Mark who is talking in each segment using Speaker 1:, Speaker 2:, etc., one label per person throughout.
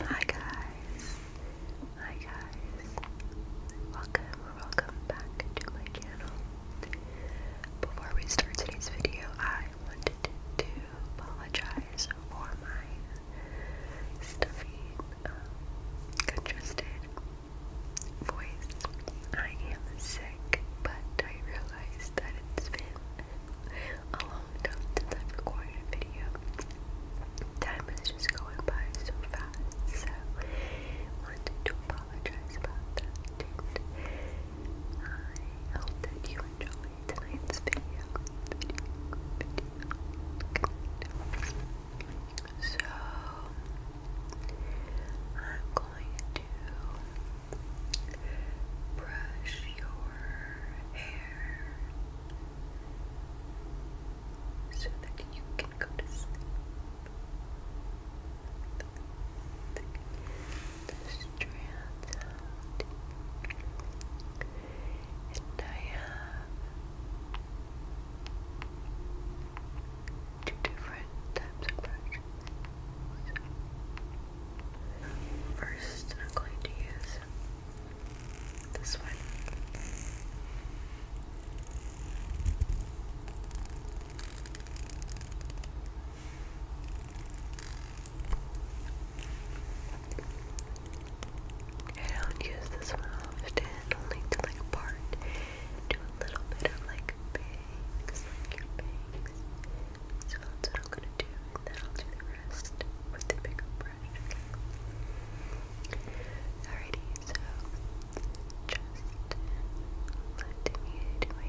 Speaker 1: Hi guys, hi guys, welcome welcome back to my channel. Before we start today's video, I wanted to apologize for my stuffy, um, congested voice. I am sick, but I realized that it's been a long time since I've recorded a video.
Speaker 2: Time is just going by so fast, so wanted to apologize about that. I hope that you enjoy tonight's video. So I'm going to brush your hair so that you can go to sleep. The strands and I have two different types of brushes. first, I'm going to use this one. I don't use this one often, only to like part do a little bit of like bangs, like your bangs. So that's what I'm gonna do, then I'll do the rest with the makeup brush. Alrighty, so just let me do my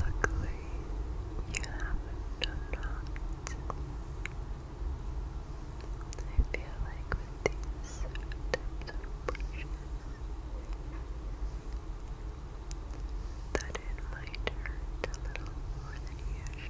Speaker 2: Luckily, you haven't done that. I feel like with these types that it might hurt a little more than usual.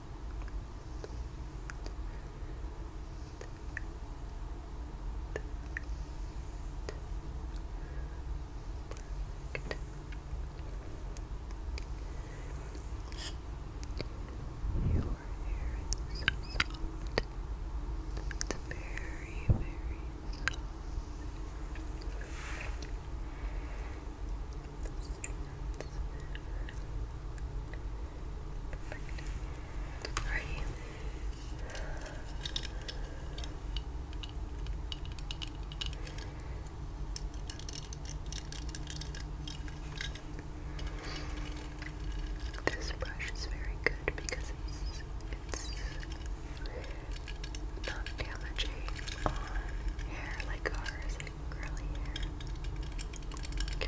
Speaker 2: Perfect. Your hair is so soft. It's very, very soft. Perfect. Alrighty. This brush is very good because it's it's not damaging on hair like ours curly I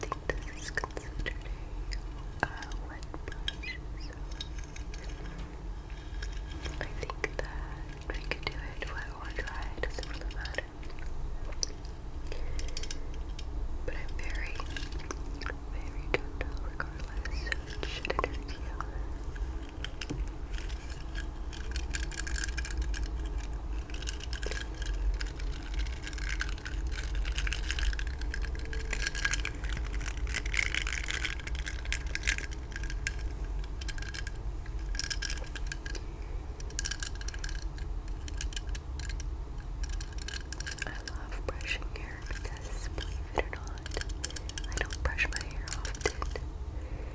Speaker 2: think this is considered a wet brush, I think that I could do it wet or dry, it doesn't really matter. But I'm very, very gentle regardless, so it shouldn't hurt you. I love brushing hair because, believe it or not, I don't brush my hair often.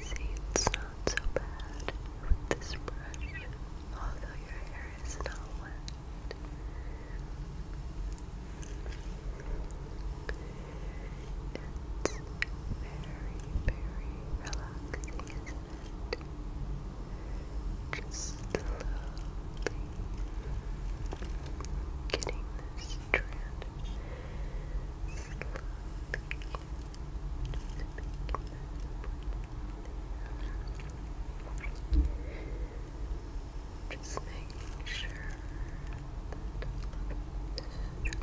Speaker 2: See, it's not so bad with this brush, although your hair is not wet. It's very, very relaxing, isn't it? Just getting this strand just making sure that this is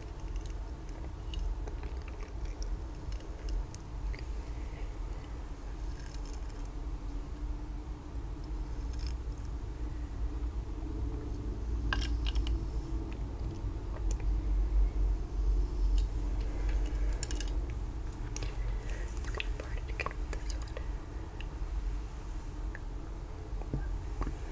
Speaker 2: I'm gonna part it again with this one.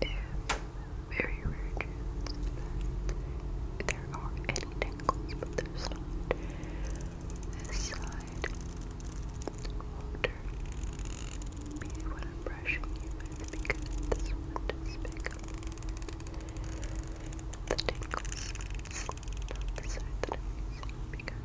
Speaker 2: If very rare there are any tangles, but there's not. This side won't be I'm brushing you with because this one does pick the tangles. Not the side that I'm using because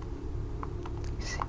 Speaker 2: You see that?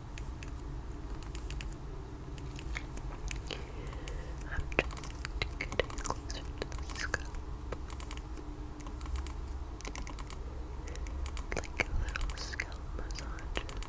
Speaker 2: I'm just getting closer to the scalp. Like a little scalp massage. Perfect.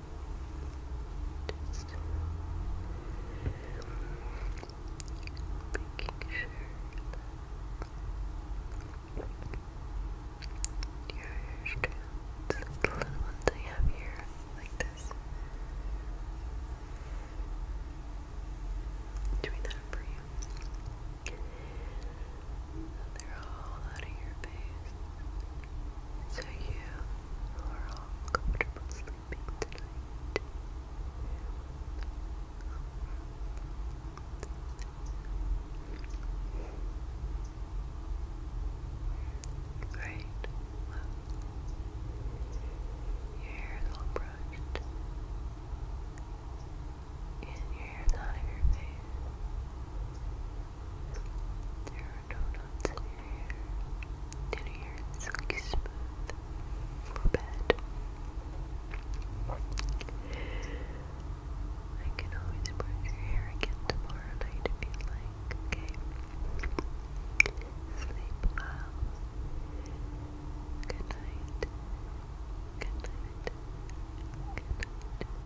Speaker 2: Just making sure that your strands, the little ones I have here, like this. Doing that for you. They're all out of your face. So you are all comfortable sleeping tonight. Great. your hair is all brushed. And your hair's out of your face. There are silky smooth for bed. I can always brush your hair again tomorrow night if you like, okay? Sleep well. Good night. Good night. Good night.